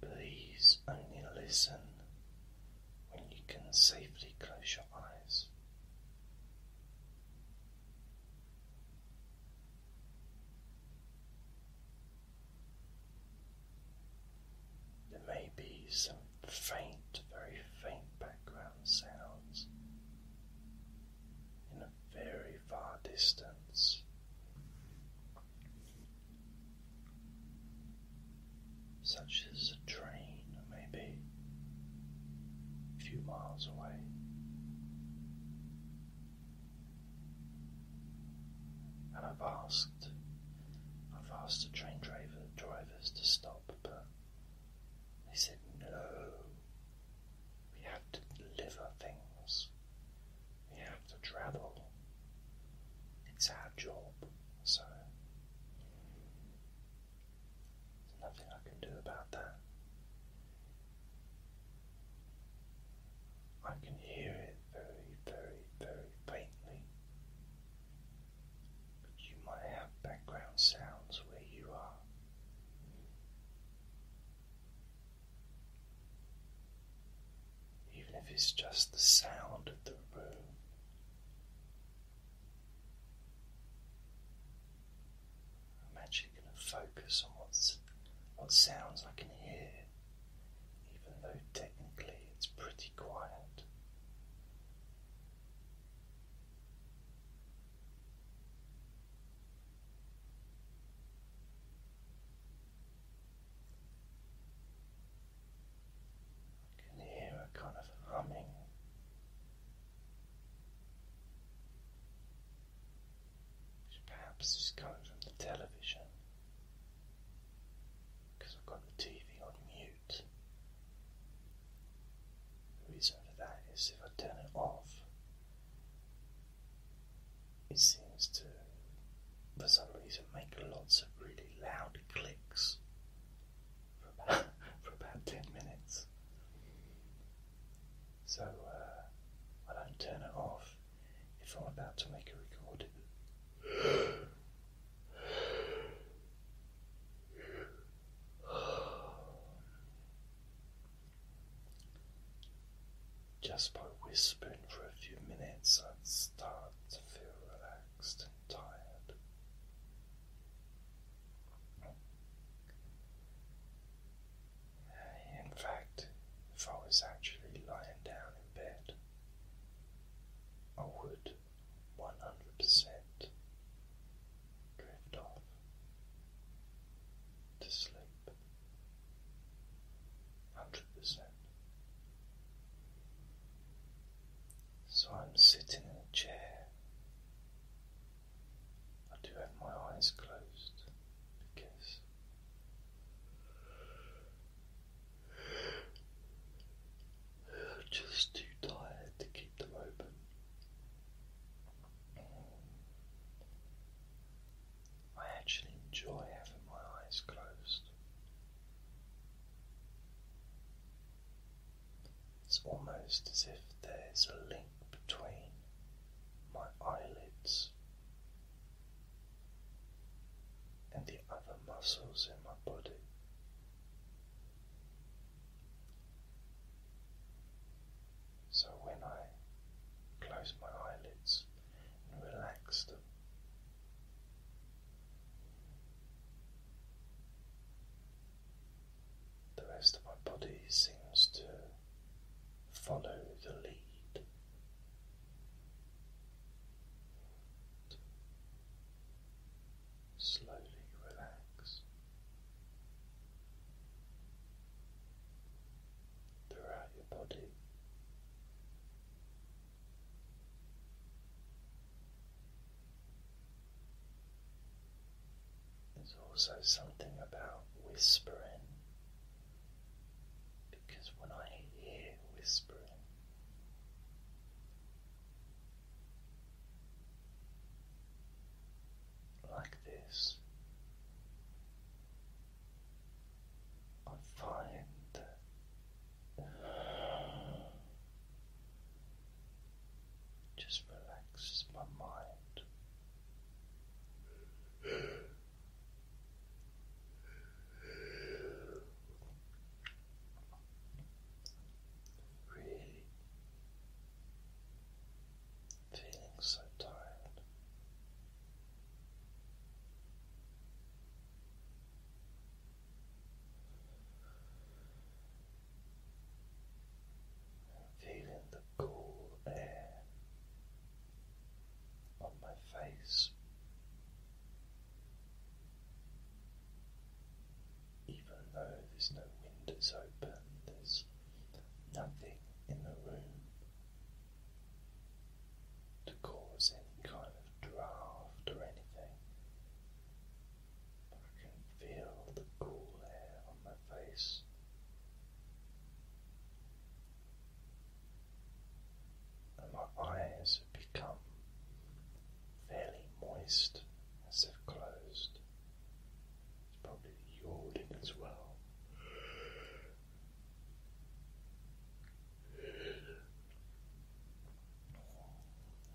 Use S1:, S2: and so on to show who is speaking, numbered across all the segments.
S1: Please only listen when you can safely close your eyes. There may be some faint, very faint background sounds very far distance. Such as a train, maybe a few miles away. And I've asked, I've asked the train driver drivers to stop, but they said no, we have to deliver things. We have to travel. It's our job, so there's nothing I can do about that. I can hear it very, very, very faintly. you might have background sounds where you are even if it's just the sound of the room. I'm actually going to focus on what sounds I can hear, even though technically it's pretty quiet. I can hear a kind of humming. perhaps is coming from the television because I've got the TV on mute. The reason for that is if I turn it off, it seems to, for some reason, make lots of really loud clicks for about, 10 minutes. So uh, I don't turn it off if I'm about to make a recording. Just by whispering for a few minutes, I'd start to feel relaxed and tired. In fact, if I was actually lying down in bed, I would 100% drift off to sleep. 100%. So I'm sitting in a chair. I do have my eyes closed because I'm just too tired to keep them open. I actually enjoy having my eyes closed. It's almost as if there's a link between my eyelids and the other muscles in my body. So when I close my eyelids and relax the rest of my body seems to follow the lead. Slowly relax throughout your body. There's also something about whispering because when I hear whispering, like this, I find just relaxes my mind. Really feeling so tired. feeling the cool air on my face, even though there's no windows open, there's nothing in the room to cause any kind of draft or anything. But I can feel the cool air on my face. And my eyes have become fairly moist as they've closed. It's probably yawning as well.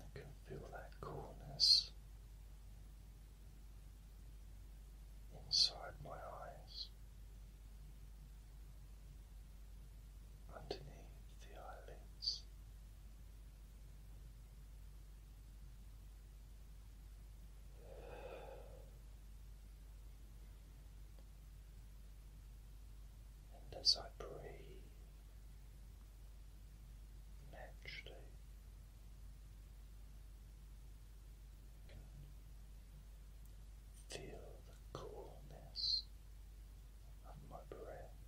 S1: I can feel that coolness inside my eyes, underneath the eyelids. And as I breathe naturally, you can feel the coolness of my breath.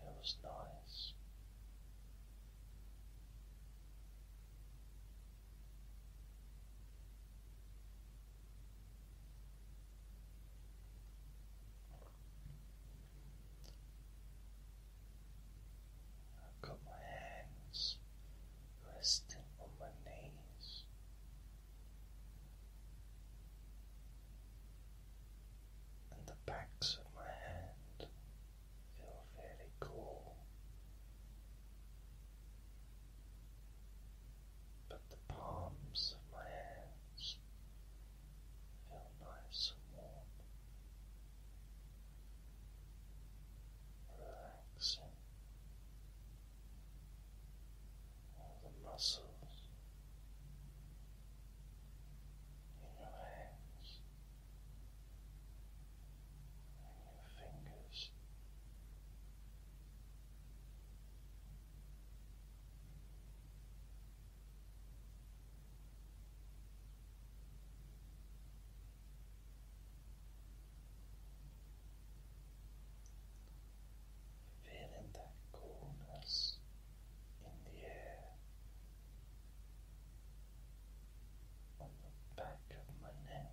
S1: Feels nice. I've got my hands resting on my knees. And the backs of my hand feel fairly cool but the palms of my hands feel nice and warm, relaxing all the muscles. In your hands and your fingers, Feeling that coolness in the air on the back of my neck.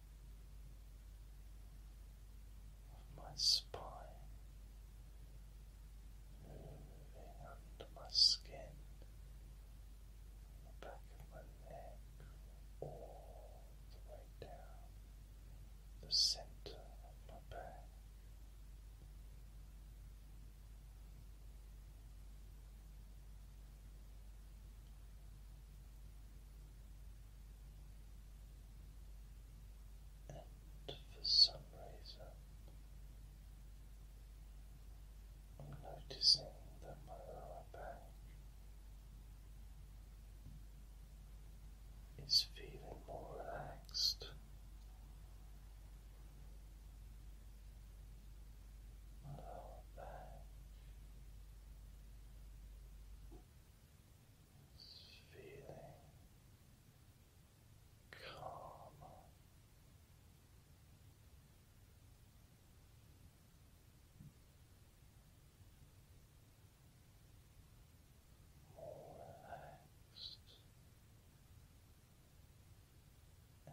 S1: of my spine moving under my skin, the back of my neck, all the way down the center of my back. And for some reason, I'm noticing that my lower back is feeling more relaxed. lower back feeling calmer. relaxed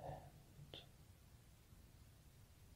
S1: and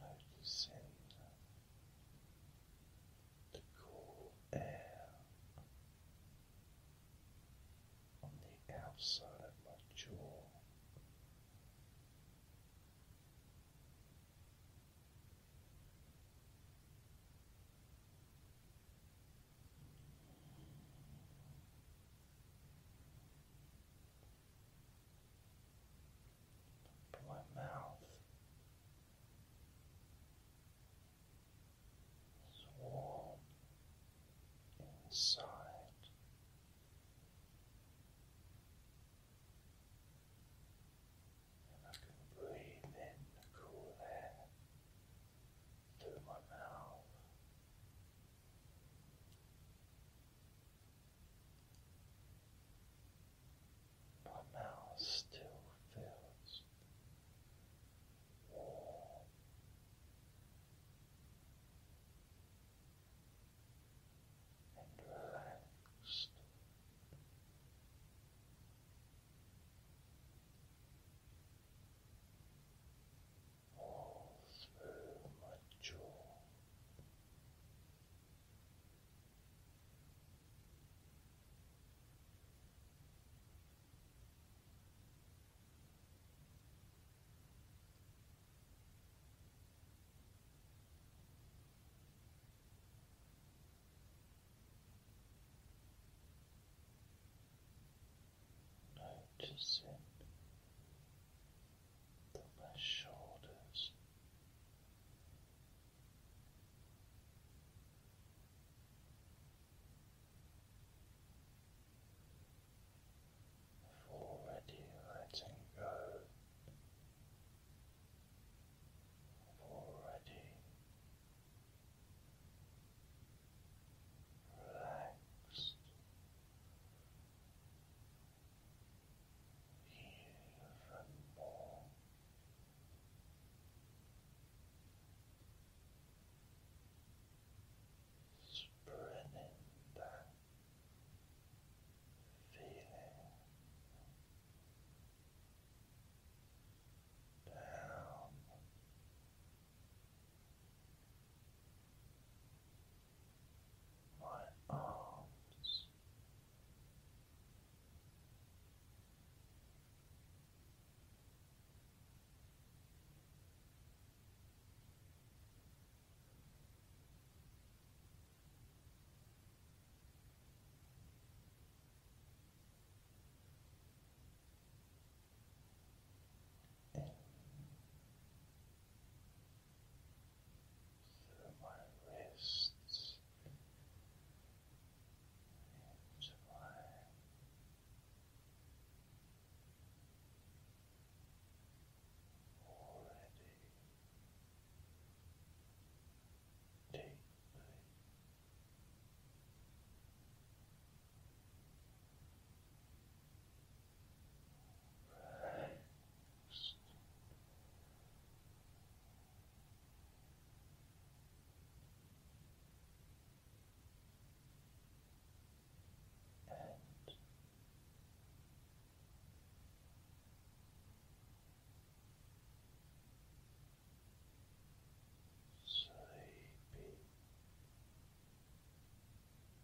S1: Noticing the cool air on the outside of my jaw from my mouth is warm inside. And I can breathe in the cool air through my mouth. My mouth still feels warm. And relaxed all through my jaw noticing that my shoulders have already letting go. already relaxed even more. Spreading that feeling down my arms in through my wrists into my already deeply Relaxed. And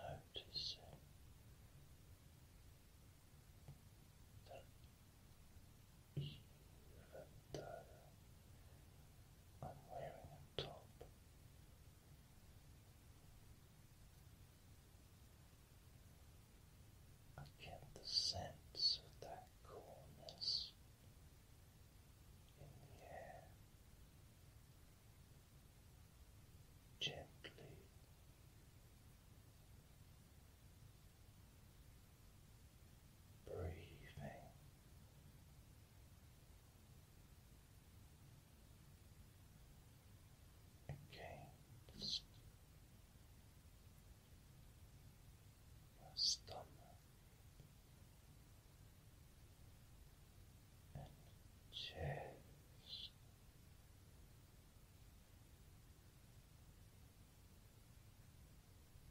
S1: Noticing that I'm wearing a top. I get the sense of that coolness in the air gently breathing. Against stomach and chest, Gently.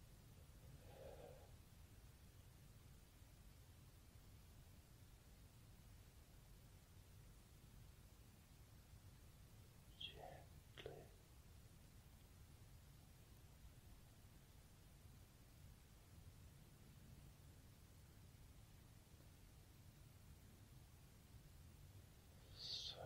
S1: So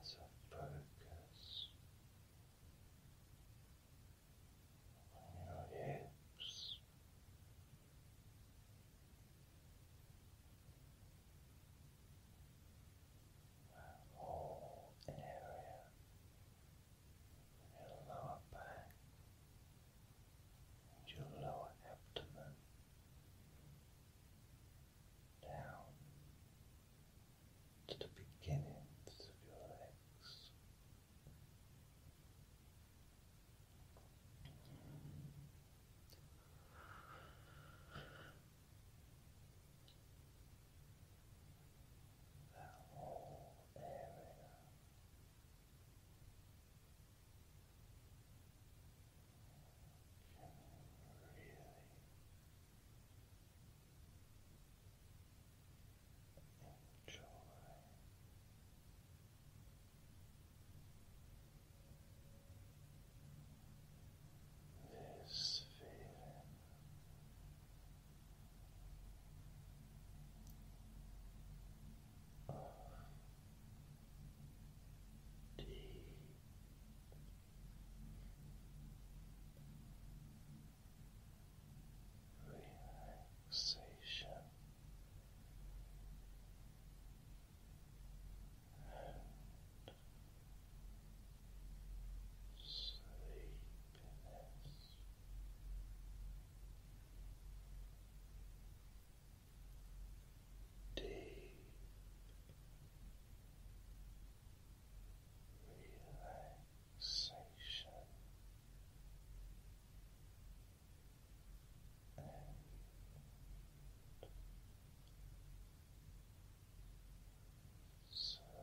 S1: As I focus on your hips or an area your lower back your lower abdomen down to the beginnings of your legs. That whole area can really enjoy. This feeling of deep relaxation and sleepiness. Deep relaxation and sleep.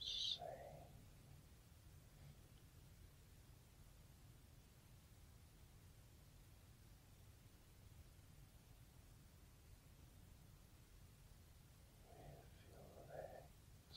S1: Just saying. With your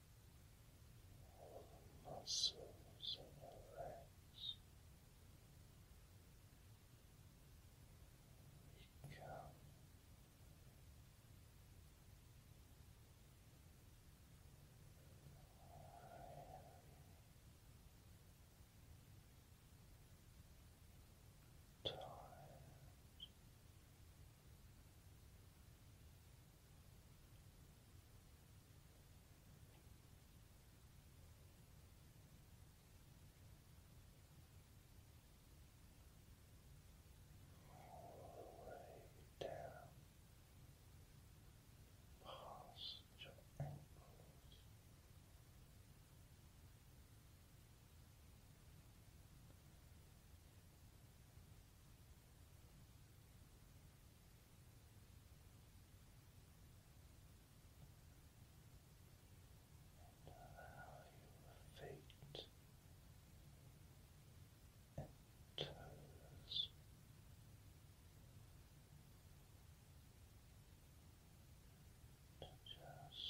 S1: the muscles in your legs become Tired all the way down past your ankles. Down and allow your feet and toes to just drift.